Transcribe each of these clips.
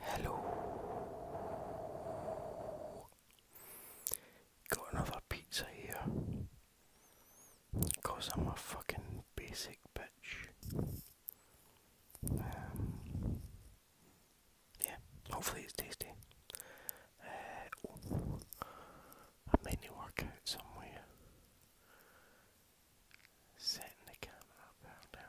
Hello. Got another pizza here. Cause I'm a fucking basic bitch. Um, yeah, hopefully it's tasty. Uh, oh, I might need to somewhere. Setting the camera up out there,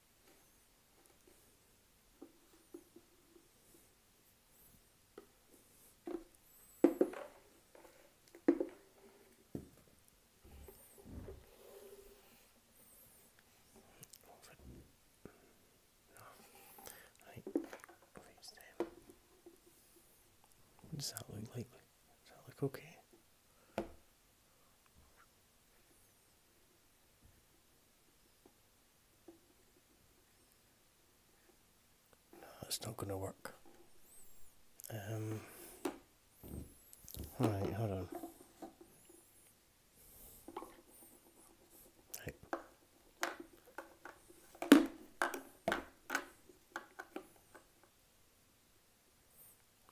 What does that look like? Does that look okay? That's not going to work. Um, right, hold on.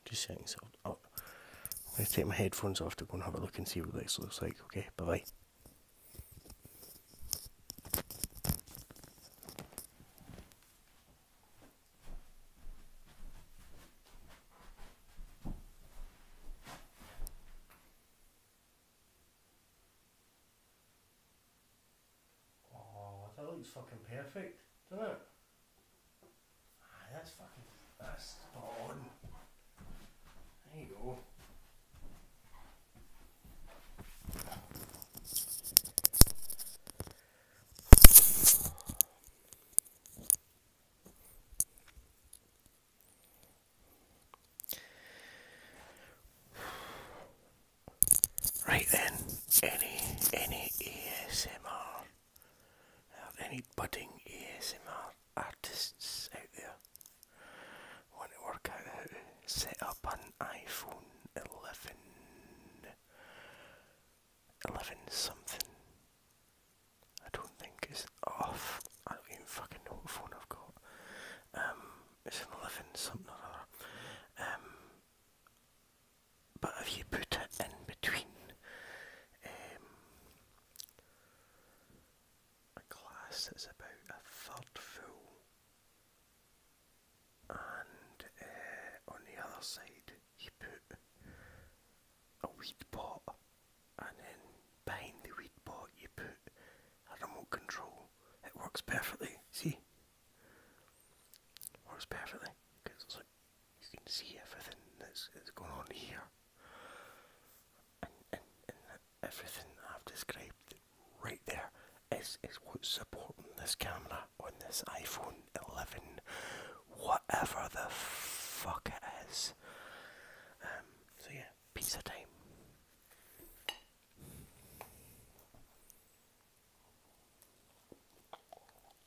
just saying so up. Oh, I'm going to take my headphones off to go and have a look and see what this looks like. Okay, bye bye. Oh, that looks fucking perfect, doesn't it? Ah, that's fucking. That's spot There you go. Right then, any any ASMR are any budding ASMR artists out there? Want to work out how to set up an iPhone 11, something? I don't think is off. I don't even fucking know what phone I've got. Um, it's an 11 something or other. Um, but if you put it in between um, a glass that's about a third full and uh, on the other side you put a weed pot and then behind the weed pot you put a remote control. It works perfectly, see? Works perfectly you can see everything that's, going on here. And, and, and everything I've described right there is, is what's supporting this camera on this iPhone 11, whatever the fuck it is. Um, so yeah, pizza time.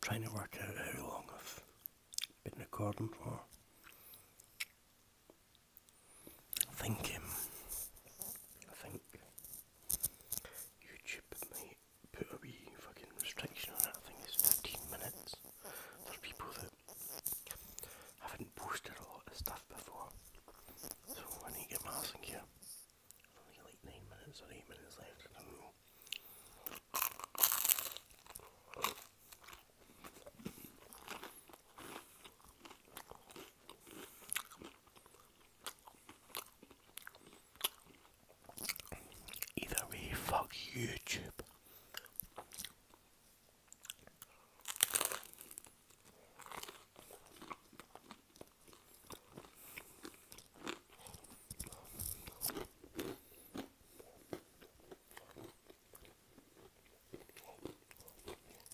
trying to work out how long I've been recording for. I um, I think YouTube might put a wee fucking restriction on it. I think it's 15 minutes for people that haven't posted a lot of stuff before. So I need to get my ass in here. only like 9 minutes or 8 minutes left, Either way, fuck YouTube.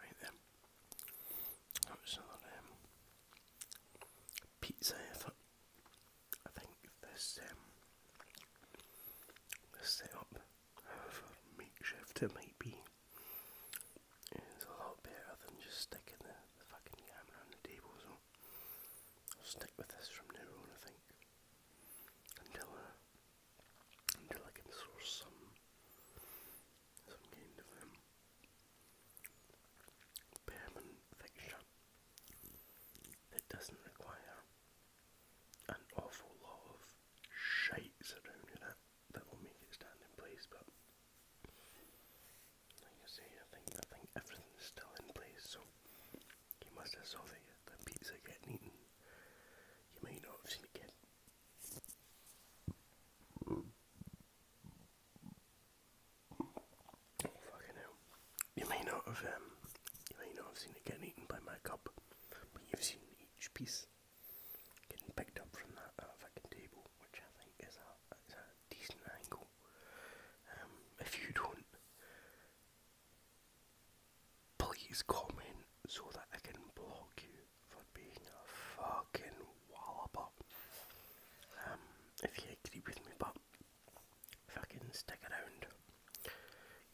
Right then. That was another pizza. I thought. I think this um, this setup, however makeshift it might be, is a lot better than just sticking the, the fucking camera on the table. So I'll stick with this from now on, I think, until uh, until I can source some some kind of um, permanent fixture that doesn't require an awful lot of shite surrounding it that will make it stand in place but like I say I think I think everything's still in place so you must have saw the, the pizza getting You may not have get you may not have um, you may not have seen it getting eaten by my cup, but you've seen each piece getting picked up from that uh, fucking table, which I think is a, decent angle. Um, if you don't please comment so that I can block you for being a fucking wallopper. Um, if you agree with me, but fucking stick around.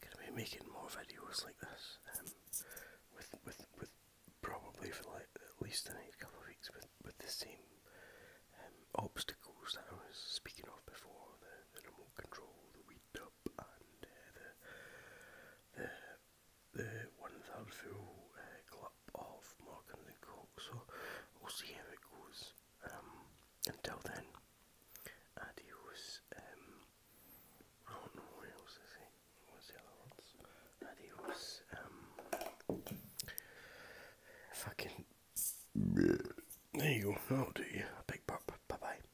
Gonna be making more videos like this. Um, with with with probably for like at least the next couple of weeks with with the same um, obstacles that I was speaking of before the, remote control, the weed up, and uh, the the the one third full uh, of Morgan and Coke. So we'll see how it goes. Um, until then, adios. Um, I don't know what else to say. What's the other words? Adios. Um, fucking. There you go. That'll do you. A big burp. Bye bye.